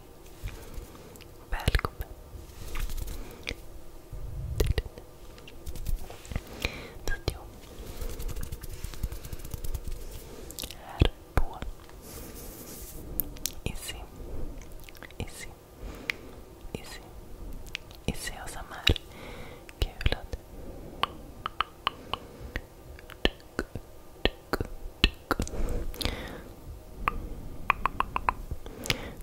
Hej. Välkommen. Video. Här på Izzy. Izzy. Izzy. Izzy och som är kulad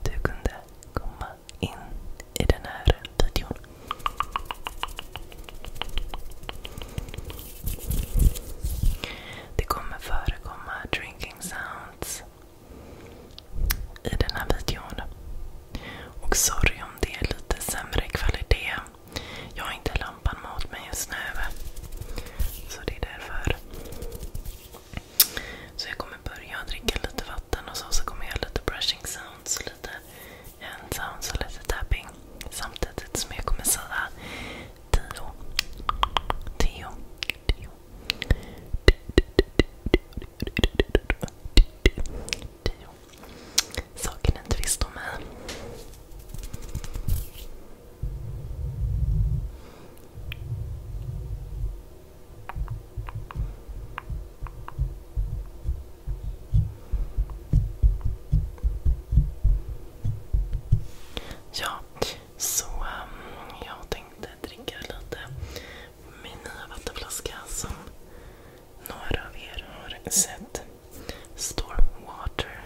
du kunde komma in i den här videon. Det kommer förekomma drinking sounds i den här videon. Och sorry om det är lite sämre kvalitet. Jag har inte lampan mot mig just nu. Så det är därför. Så jag kommer börja dricka lite vatten och så, så kommer jag göra lite brushing sounds, lite hand sounds och lite tapping. Samtidigt som jag kommer säga Tio. Tio. Tio. Tio. Saker ni inte visste om mig. Ja, så um, jag tänkte dricka lite min nya vattenflaska som några av er har sett. Stormwater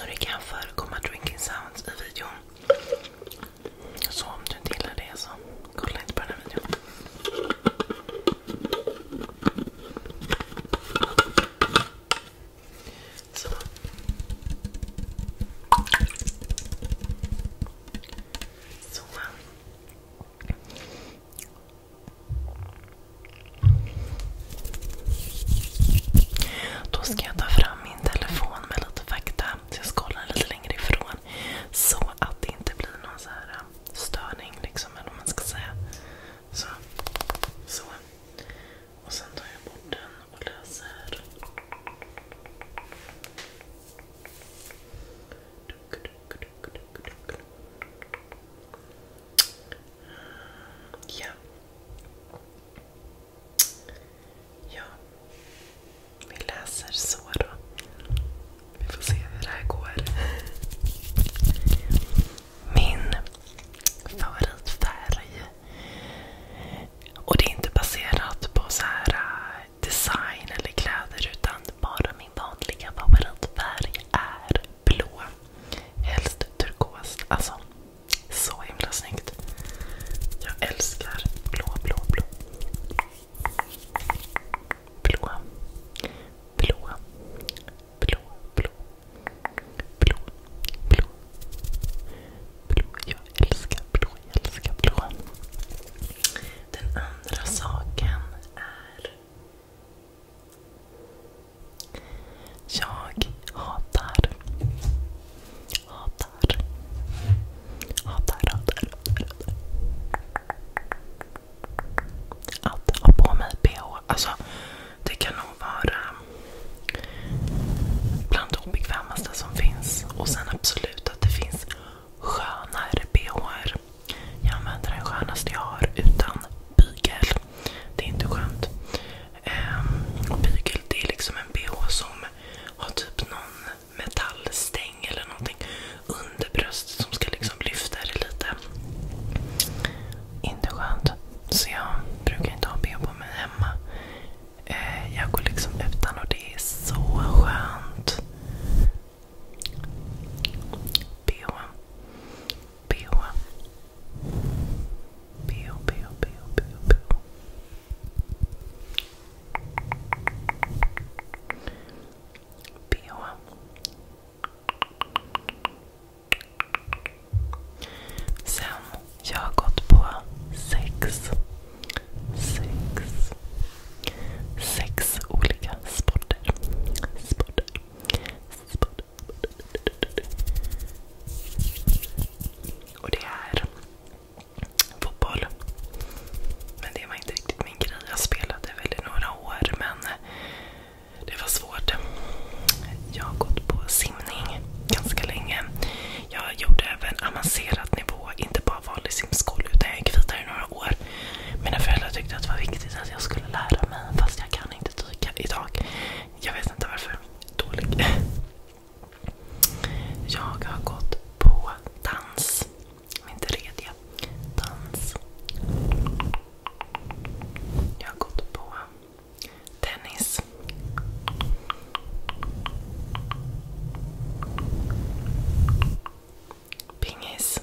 Och det kan förekomma drinking sounds i videon. Så om du inte gillar det så kolla inte på den här videon. Då ska jag ta fram min telefon med lite fakta. Så jag ska kolla lite längre ifrån. Så att det inte blir någon um, störning. Liksom, eller vad man ska säga. så. Och sen tar jag bort den och läser. Ja. Vi läser så då. Vi får se hur det här går min favoritfärg. Och det är inte baserat på så här äh, design eller kläder utan bara min vanliga favoritfärg är blå. Helst turkos. Alltså, så himla snyggt. Jag älskar blå, blå, blå. Blå. Blå blå, blå, blå, blå. Blå, jag älskar blå, jag älskar blå. Den andra saken är... Jag hatar... Hatar. Hatar, hatar, hatar. Att ha på mig bh. Alltså, det kan nog vara eh, bland det obekvämaste som finns. Och sen absolut att det finns skönare bhar. Jag använder den skönaste jag har utan bygel. Det är inte skönt. Ehm, och bygel det är liksom en bh som har typ någon metallstäng eller någonting under bröstet som ska liksom lyfta det lite inte skönt. Så jag brukar inte ha bh på mig hemma. Eh, jag går liksom utan och det är så skönt. Bh. Bh. Bh, bh, bh, bh, bh. BH. BH. Sen, jag har gått på sex, sex, sex olika sporter. sporter, sporter. Och det är fotboll. Men det var inte riktigt min grej. Jag spelade väl i några år men det var svårt. Jag har gått på simning ganska länge. Jag gjorde även avancerad nivå, inte bara vanlig simskola utan jag gick vidare i några år. Mina föräldrar tyckte att det var viktigt att jag skulle lära mig fast jag kan inte dyka idag. Jag vet inte varför. Dålig. Jag har gått på dans. Min tredje dans. Jag har gått på Tennis. Pingis.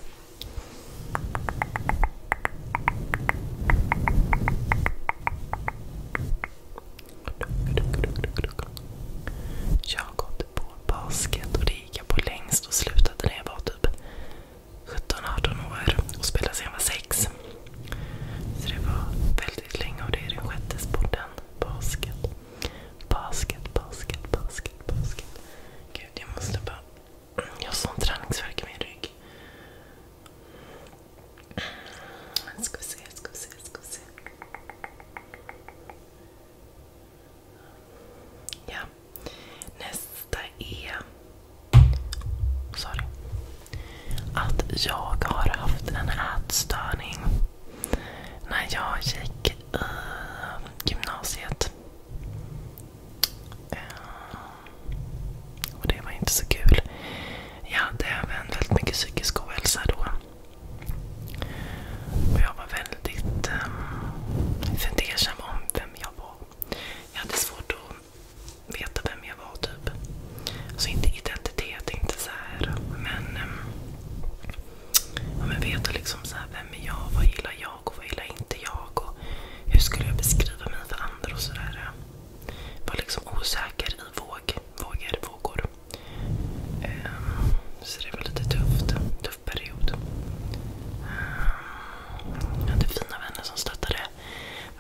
Jag har gått på basket och det gick jag på längst och slutade när jag var typ 17-18 år och spelade sedan jag var 6. Så det var väldigt länge och det är den sjätte sporten. Basket. Basket, basket, basket, basket. Gud, jag måste bara... Jag har sån träningsvärk i min rygg. Ska vi se, ska vi se, ska vi se. Ja, Nästa är... Sorry. Att jag har haft en ätstörning när jag gick i gymnasiet. Eh, och det var inte så kul. Jag hade även väldigt mycket psykisk ohälsa då. Och jag var väldigt ehm, fundersam om vem jag var. Jag hade svårt att veta vem jag var typ. Så alltså, inte identitet, inte så här, men, ehm, ja, men veta liksom så här, vem är jag, vad gillar jag och vad gillar inte jag. Och hur skulle jag beskriva mig för andra och sådär. Ehm, var liksom osäker i våg, vågor, vågor. Ehm, så det var lite tufft. Tuff period. jag hade fina vänner som stöttade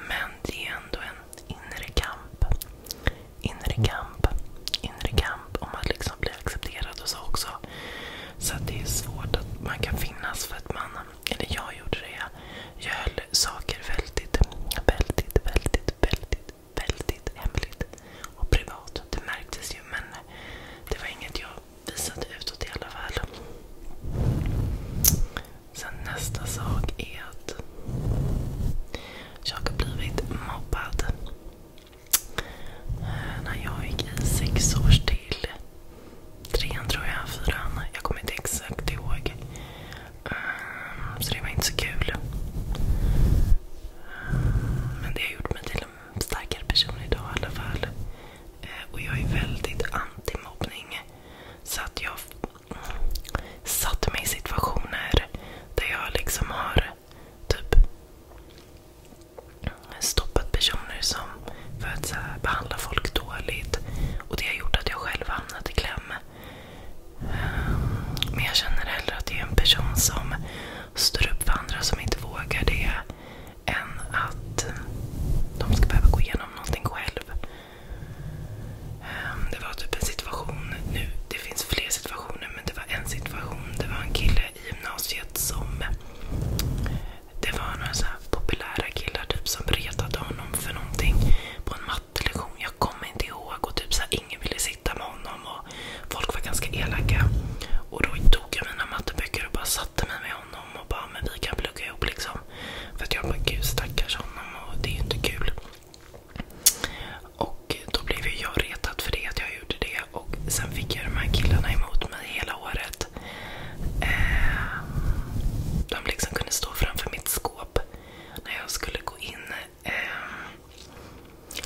men det är ändå en inre kamp. Inre Inre kamp om att liksom bli accepterad och så också. Så det är svårt att man kan finnas för att man, eller jag gjorde det. Jag höll saker väldigt, väldigt, väldigt, väldigt hemligt och privat. Det märktes ju men det var inget jag visade utåt i alla fall. Sen nästa sak är att jag har blivit mobbad. Eh, när jag gick i sex års till trean tror jag, fyran. Jag kommer inte exakt ihåg. Ehm, så det var inte så kul. Ehm, men det har gjort mig till en starkare person idag i alla fall. Eh, och jag är väldigt anti-mobbning. Så att jag satte mig i situationer där jag liksom har typ stoppat personer som för att behandla folk dåligt. Och det har gjort att jag själv hamnat i kläm. Eh, men jag känner hellre att det är en person som står upp för andra som inte vågar det än att de ska behöva gå igenom någonting själv. Ehm, det var typ en situation, nu, det finns fler situationer, men det var en situation. Det var en kille i gymnasiet som... Det var några så här populära killar typ som retade honom för någonting på en mattelektion. Jag kommer inte ihåg. och typ så här, Ingen ville sitta med honom och folk var ganska elaka. Och då tog jag mina matteböcker och bara satte mig med honom honom och bara men vi kan plugga ihop. liksom. För att jag bara gud stackars honom och det är ju inte kul. Och då blev ju jag retad för det, att jag gjorde det. Och sen fick jag de här killarna emot mig hela året. Ehm, de liksom kunde stå framför mitt skåp när jag skulle gå in. Ehm,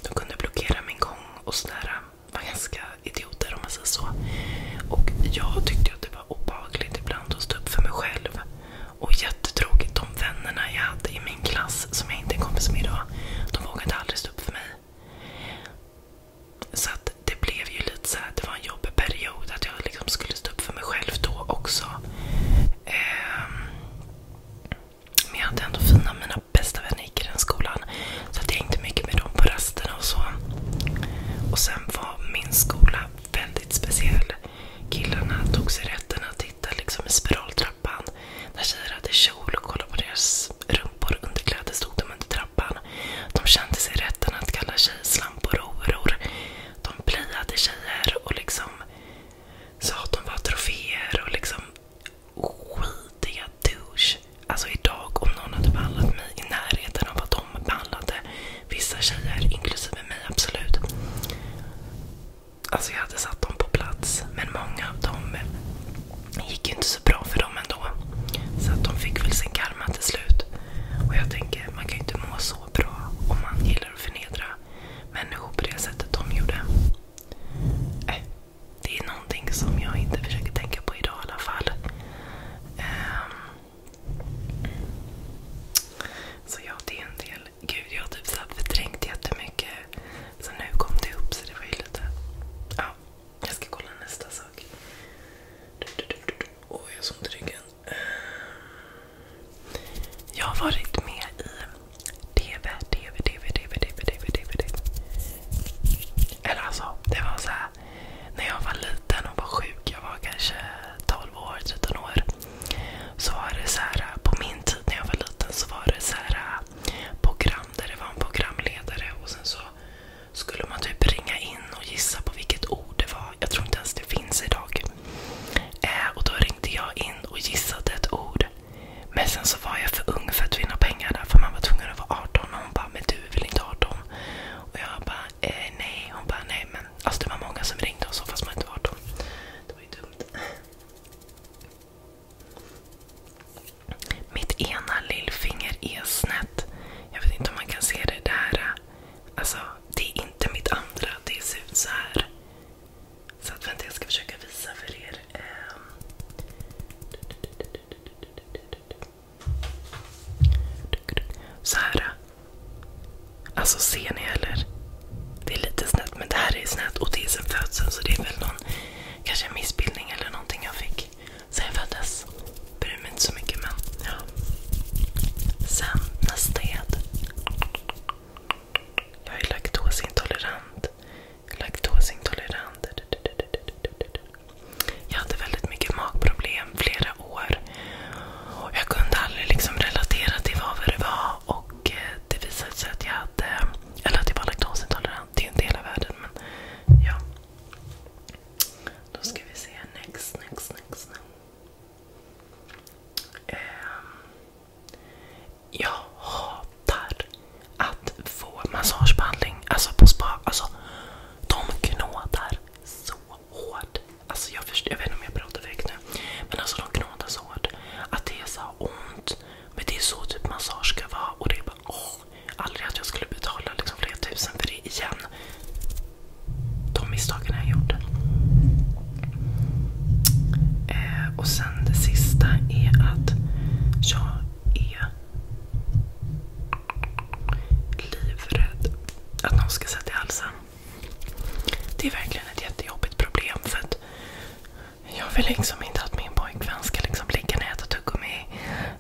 de kunde blockera min gång och sådär var ganska idioter om man säger så. Och jag tyckte att det var obehagligt ibland att stå upp för mig själv. Och jättetråkigt. De vännerna jag hade i min klass som jag inte är kompis med idag. De vågade aldrig stå upp för mig. Så att det blev ju lite så här, det var en jobbig period att jag liksom skulle stå upp för mig själv då också. Ehm, men jag hade ändå fina, mina bästa vänner gick i den skolan skolan. Så jag hängde mycket med dem på rasterna och så. Och sen var min skola väldigt speciell. Killarna tog sig rätten att titta liksom i spiraltrappan. När tjejer hade kjol och kollade på deras rumpor och underkläder stod de under trappan. De kände sig rätten att kalla tjejer slampor och horor. De playade tjejer och liksom sa att de var troféer och liksom vidriga douche. Alltså idag om någon hade behandlat mig i närheten av vad de behandlade vissa tjejer, inklusive mig absolut. Alltså jag hade satt dem på plats. Men många av dem gick ju inte så bra för dem ändå. Så att de fick väl sin karma till slut. Och jag tänker, man kan ju inte må så bra om man gillar att förnedra människor på det sättet de gjorde. Äh, det är någonting som jag inte försöker tänka på idag i alla fall. Ehm. så ja, det är en del. Gud, jag har typ förträngt jättemycket. Så nu kom det upp, jag ska kolla nästa sak. Åh, oh, jag såg inte ryggen. Jag har varit med i TV, TV, TV, TV, TV, TV, TV. Eller alltså, det var så här när jag var liten och var sjuk, jag var kanske 12 år, 13 år. Så var det så här, på min tid när jag var liten så var det så här program där det var en programledare och sen så skulle man typ ringa in och gissa på vilket ord det var. Jag tror inte ens det finns idag. Eh, och då ringde jag in och gissade ett ord. Men sen så var jag för ung för att vinna pengar där för man var tvungen att vara 18 och hon bara, men du du vill inte ha dem. Och jag bara, eh, nej. Hon bara, nej men. Alltså det var många som ringde och så fast man inte var dem. Det var ju dumt. Mitt ena lillfinger är snett. Jag vet inte om man kan se det där. Alltså, det är inte mitt andra. Det ser ut så här. Så att, vänta, jag ska försöka visa för er. Ehm. Så här. Alltså ser ni eller? Det är lite snett, men det här är snett och det är sen födseln så det är väl någon kanske en missbildning eller någonting jag fick sen jag föddes. Bryr mig inte så mycket men ja. Sen nästa ed. Jag är laktosintolerant. Laktosintolerant. Jag hade väldigt mycket magproblem flera år. Jag kunde aldrig liksom relatera till vad det var. Eh, det visade sig att jag, hade, eller att jag var laktosintolerant. Det är ju inte hela världen. Då ska vi se. Next, next, next. Ehm, hatar att få massagebehandling alltså på spa. Alltså, de knådar så hårt. Alltså jag, förstår, jag vet inte om jag pratar väg nu. Men alltså de knådar så hårt att det är så ont. Men det är så typ massage ska vara. Och det är bara åh. Aldrig att jag skulle betala liksom flera tusen för det igen. De misstagen jag gjorde. Eh, och sen det sista är att jag är livrädd att någon ska sätta i halsen. Det är verkligen ett jättejobbigt problem. för att Jag vill liksom inte att min pojkvän ska liksom ligga ner och äta tuggummi.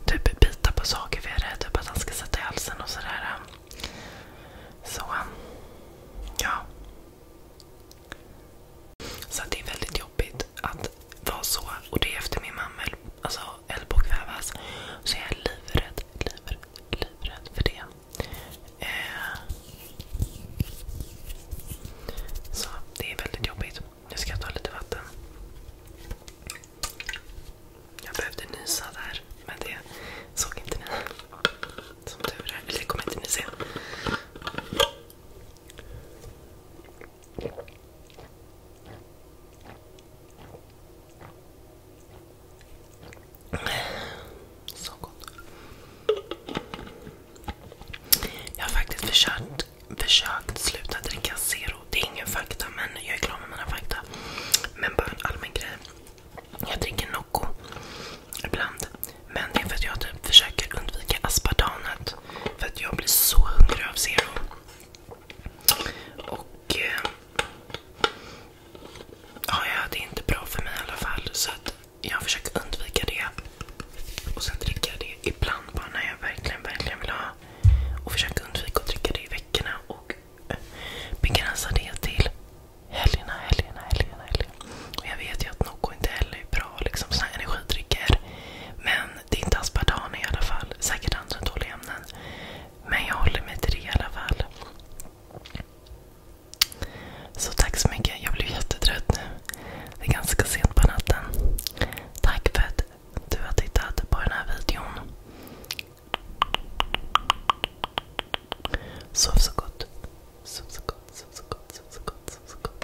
Typ bita på saker för jag är rädd typ att han ska sätta i halsen och sådär. Så, ja. Så det är väldigt jobbigt att vara så. Och det är efter min mamma alltså, höll på att kvävas. Så jag är livrädd, livrädd, livrädd för det. Eh. Så det är väldigt jobbigt. Nu ska jag ta lite vatten. Jag behövde nysa där, men det såg inte ni. Som tur är. Eller det kommer inte ni se. Så gott. Jag har faktiskt försökt, sluta dricka Zero. Det är ingen fakta, men jag är klar med mina fakta. Men bara en allmän grej. Jag dricker Nocco ibland. Men det är för att jag typ försöker undvika aspartamet. För att jag blir så hungrig av Zero. Och... Eh, ja, det är inte bra för mig i alla fall. Så att jag försöker undvika det. Och sen dricker jag det ibland bara när jag verkligen, verkligen vill ha. Och försöker undvika att dricka det i veckorna. Och eh, begränsa det till helgerna, helgerna, helgerna. helgerna. Och jag vet ju att Nocco inte heller är bra liksom såna energidrycker. Men det är inte aspartam i alla fall. Säkert andra dåliga ämnen. Men jag håller mig till det i alla fall. Så tack så mycket. Jag blev jättetrött nu. Det är ganska sent på natten. Tack för att du har tittat på den här videon. Sov så gott. Sov så gott, sov så gott, sov så gott, sov så gott.